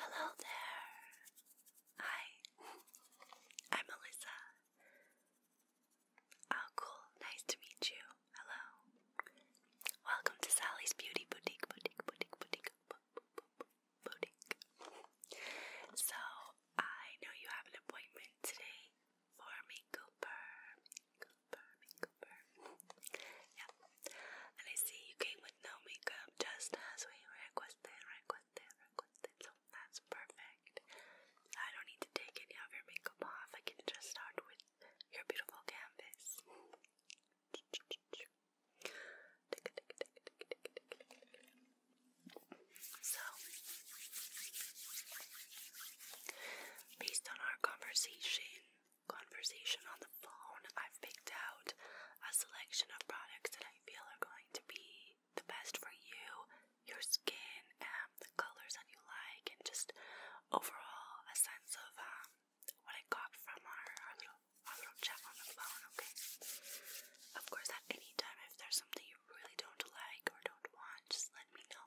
Hello there. Hi. I'm Melissa Oh, cool. Nice to meet you. Hello. Welcome to Sally's Beauty Boutique, Boutique, Boutique, Boutique, Boutique. So, I know you have an appointment today for makeover. Makeover, makeover. Yep. And I see you came with no makeup just as we requested, requested, requested. That's perfect. I don't need to take any of your makeup off. I can just start with your beautiful canvas. So, based on our conversation, conversation on the phone, I've picked out a selection of products that I feel are going to be the best for you, your skin, and um, the colors that you like, and just overall a sense of um, what I got from our, our little our little chat on the phone. Okay. Of course, at any time, if there's something you really don't like or don't want, just let me know.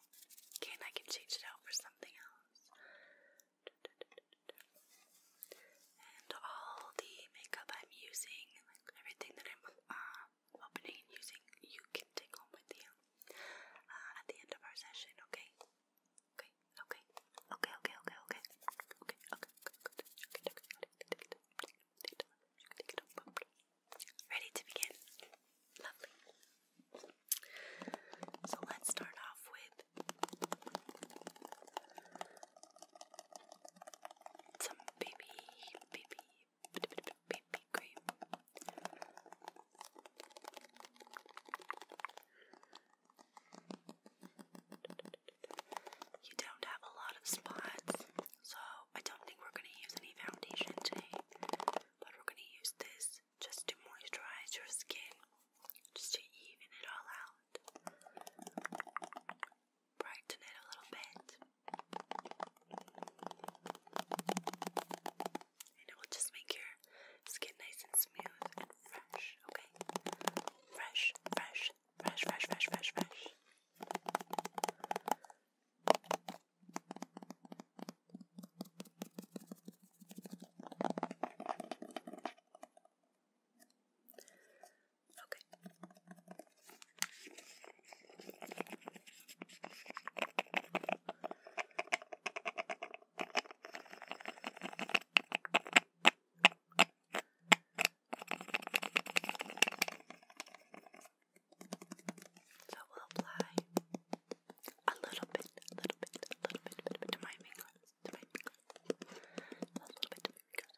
Okay, and I can change it out for something else. And all the makeup I'm using, like everything that I'm uh, opening using you can take home with you at the end of our session, okay? Okay, okay, okay, okay, okay, okay, okay, okay, good, okay, okay, ready to begin? Lovely. So let's start off with some baby, baby, you don't have a lot of spots, so I don't think we're going to use any foundation today, but we're going to use this just to moisturize your skin, just to even it all out brighten it a little bit. And it will just make your skin nice and smooth and fresh, okay? Fresh, fresh, fresh, fresh, fresh, fresh, fresh. Okay. So we'll apply a little bit, a little bit, a little bit, a little bit, to my fingers, to my fingers, a little bit to my fingers.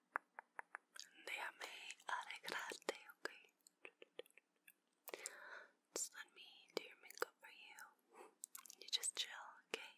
Déjame arreglarte, okay? Just let me do your makeup for you. You just chill, okay?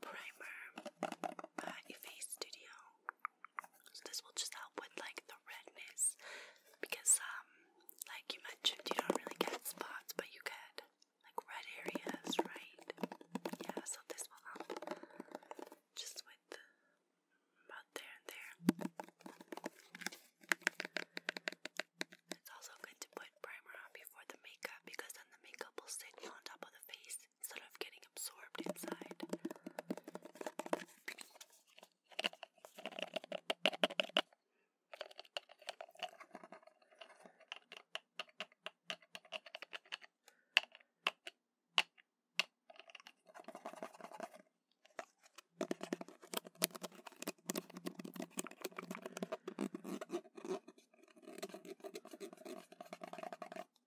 primer by Face Studio. So this will just help with like the redness because um like you mentioned you don't really get spots but you get like red areas, right? Yeah, so this will help just with about there and there. It's also good to put primer on before the makeup because then the makeup will sit on top of the face instead of getting absorbed inside.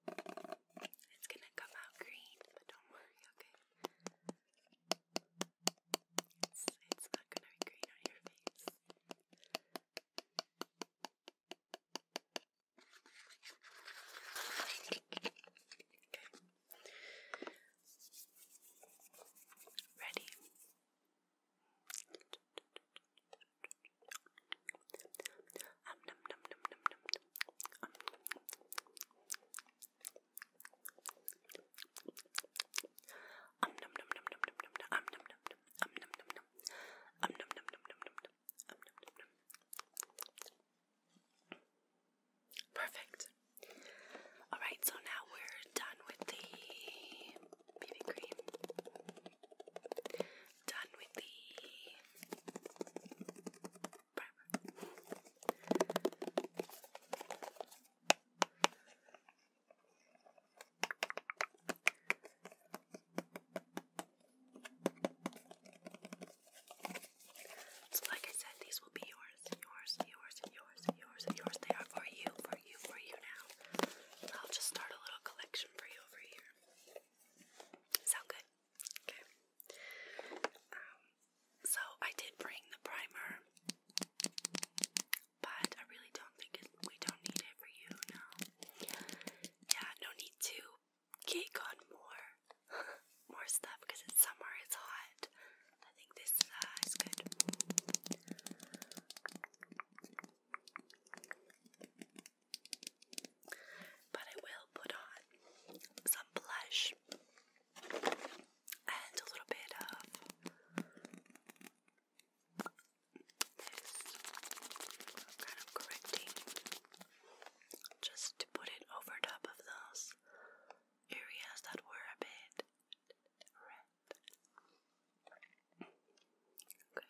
It's gonna come out green, but don't worry, okay? It's, not gonna green on your face. Ready? Perfect. Alright, so now we're done with the BB cream done with the primer. So, like I said, these will be yours, yours, yours, yours, yours, yours. They are for you, for you, for you now. I'll just start a little collection for you over here. Sound good? Okay. Um, so I did bring the primer, but I really don't think we don't need it for you now. Yeah, no need to cake on more, more stuff because it's summer, it's hot. I think this uh, is good. But I will put on some blush and a little bit of this kind of correcting just to put it over top of those areas that were a bit red.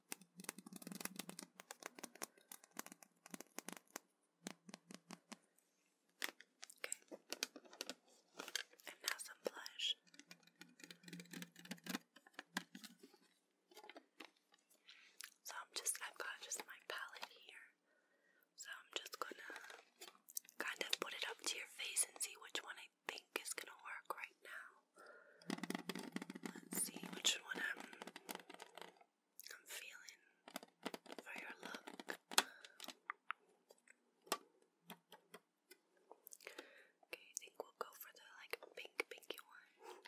Okay. And now some blush. So I'm just, I've got just my palette here. So I'm just gonna kind of put it up to your face and see which one I think is gonna work right now. Let's see which one I'm feeling for your look. Okay, I think we'll go for the like pink pinky one. Okay.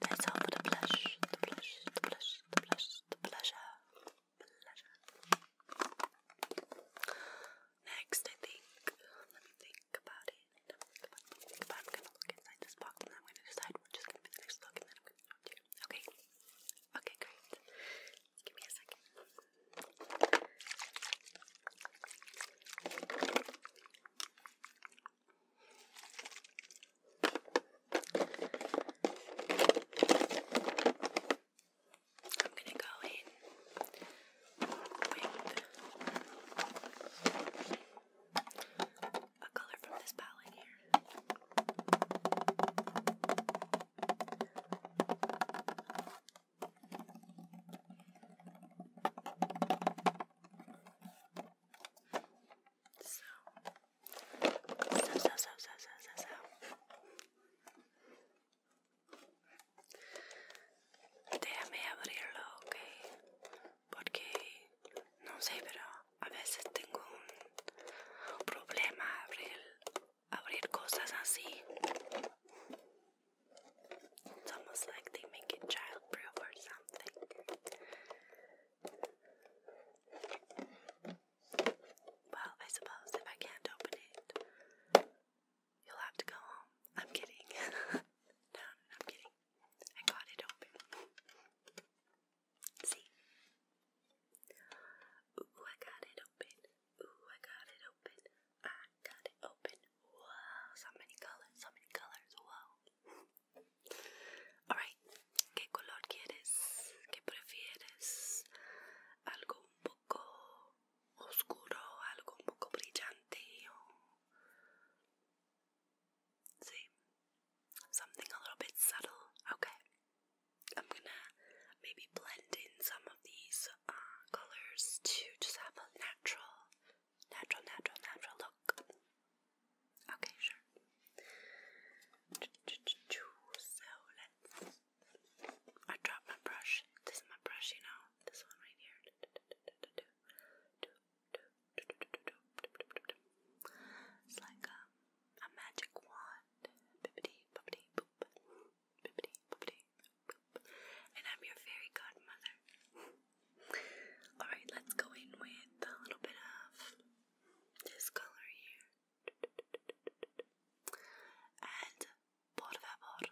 That's all for the blush, the blush, the blush, the blush, the pleasure, Next, I think, let me think about it. But I'm gonna look inside this box I'm gonna decide which is gonna be the next look and then I'm gonna Okay. Okay, great. Give me a second. I'm gonna go in with a color from this palette here. Déjame abrirlo, ok? Porque no sé, pero a veces tengo un problema abrir cosas así. It's almost like they make it childproof or something. Well, I suppose if I can't open it, you'll have to go home. I'm kidding. no, I'm kidding. I got it open. See? Ooh, I got it open. Ooh, I got it open. I ah got it open. Wow, so many colors, so many colors. Wow. Alright, ¿qué color quieres? ¿Qué prefieres? Algo un poco oscuro, algo un poco brillante. See, something a little bit subtle. Okay, I'm gonna maybe blend in some of these uh, colors to just have a natural Natural, natural, natural look. Okay, sure. So let's. I dropped my brush. This is my brush, you know. This one right here. It's like um, a, magic wand and I'm your fairy godmother. Alright, let's go in with a little bit of this color here. And por favor,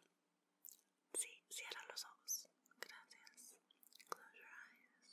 sí, cierra los ojos. Gracias. Close your eyes.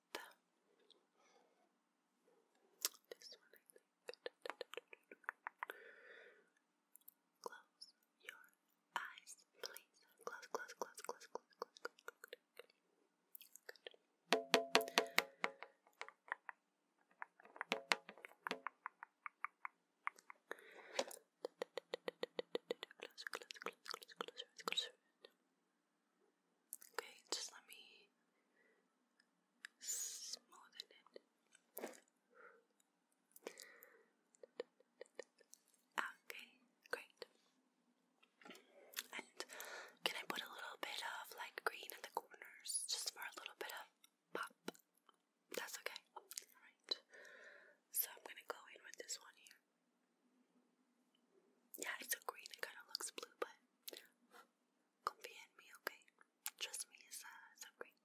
This one, Close your eyes, please. close, close, close, close, close, close, close, close, close Okay, just let me smoothen it. Okay, great. And can I put a little bit of like green in the corners just for a little bit of pop? That's okay. Alright. So I'm gonna go in with this one here. Yeah, it's so green. It kind of looks blue, but confia me, okay? Trust me, it's, uh, it's green.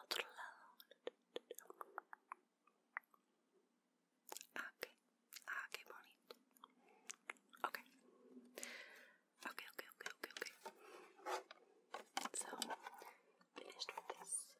Otro ah, okay. Ah, Okay, okay, okay, okay, okay. So, finished with this.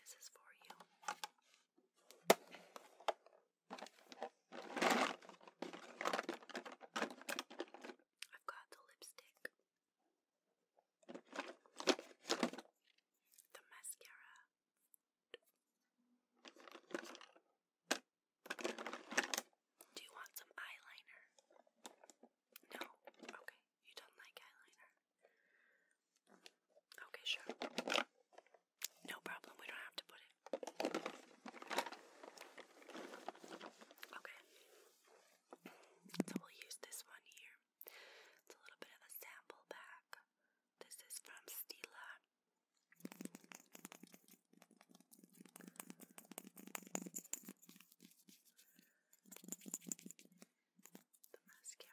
This is for you. I've got the lipstick, the mascara, do you want some eyeliner? No? Okay, you don't like eyeliner. Okay, sure. No problem. We don't have to put it. Okay. So we'll use this one here. It's a little bit of a sample pack. This is from Stila. The mascara.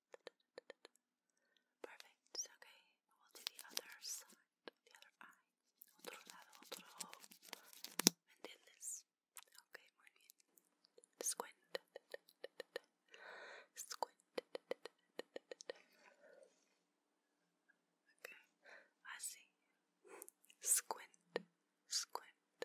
Perfect, okay. We'll do the other side, the other eye. Otro lado, otro ojo. ¿Me entiendes? Ok, muy Squint. Squint. Okay, así. Ah, Squint. Squint.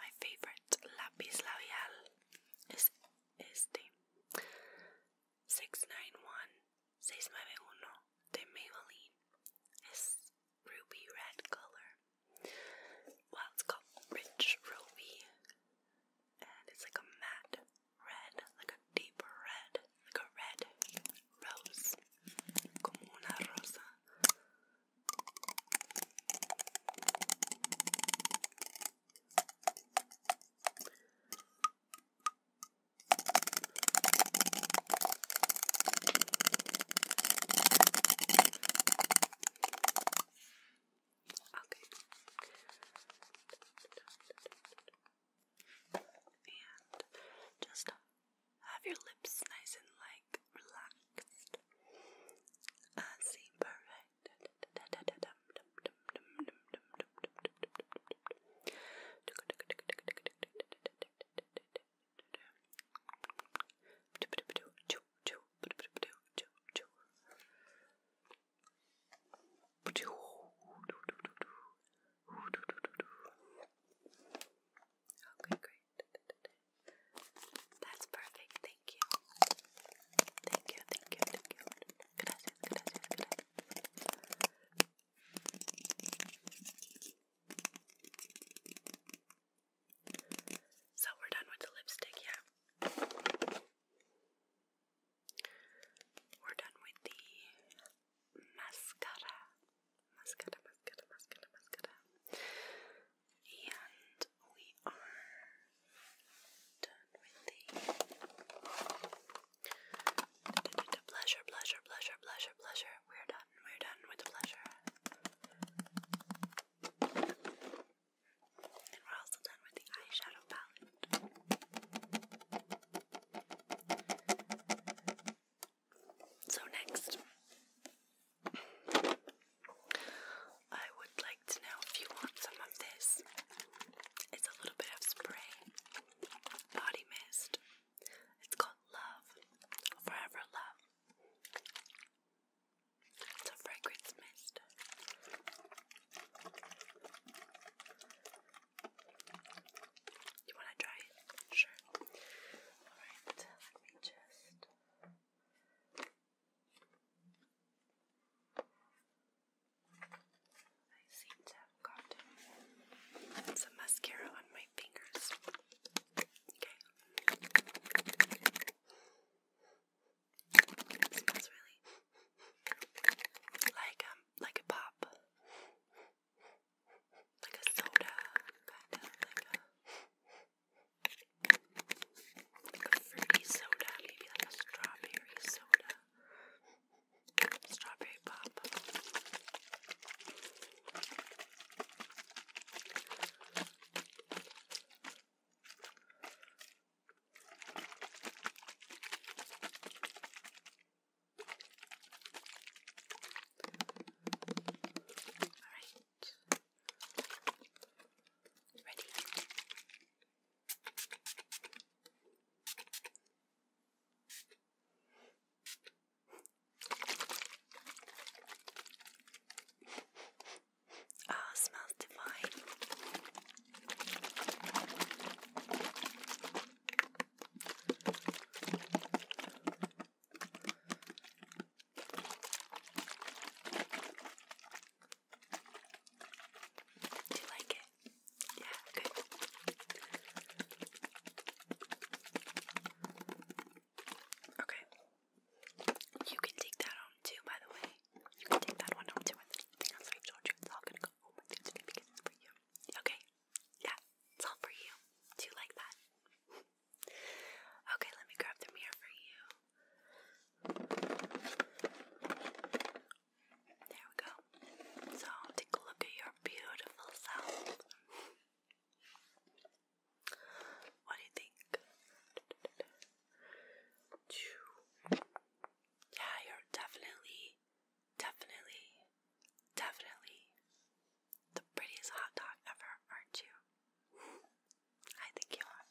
My favorite lapis labial is este 691-691 de Maybelline. It's ruby red color. Well, it's called Rich Ruby, and it's like a matte red, like a deep red, like a red rose, como una rosa. And just have your lips nice and like relaxed. I see, perfect. Okay, great. That's perfect. Thank you. Thank you. Thank you. Thank you. So we're done with the lipstick, yeah. We're done with the mascara. Mascara, mascara, mascara, mascara. And we are done with the pleasure, pleasure, pleasure, pleasure, pleasure. We're done. We're done with the pleasure. And we're also done with the eyeshadow palette. So next I would like to know if you want some of this. It's a little bit of spray, body mist. It's called Love, Forever Love. It's a fragrance mist. You want to try it? Sure. Alright, let me just. I seem to some mascara on my fingers. Okay. smells really like um like a pop. Like a soda, fruity soda, maybe a strawberry soda. Strawberry pop. Ready? Oh, smells divine. Do you like it? Yeah, good. Okay. You can take that home too, by the way. You can take that one home too. Everything else I told you, it's all gonna go home with you today because for you. Okay? Yeah, it's all for you. Do you like that? Okay, let me grab the mirror for you. There we go. So, take a look at your beautiful self. What do you think? Yeah, you're definitely, definitely, definitely the prettiest hot dog ever, aren't you? I think you are.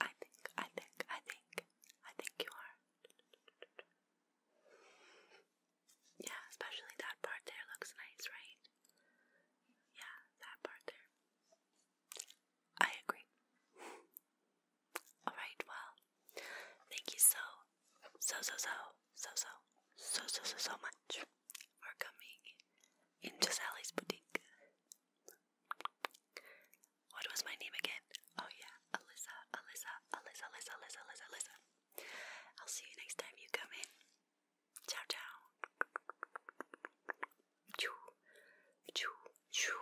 I think, I think, I think, I think you are. Yeah, especially that part there looks nice, right? Yeah, that part there. I agree. Alright, well, thank you so, so, so, so, so, so, so, so, so, so much for coming into Sally's Boutique. What was my name again? Oh yeah, Alyssa, Alyssa, Alyssa, Alyssa, Alyssa, Alyssa, I'll see you next time you come in. Ciao, ciao. Choo, choo,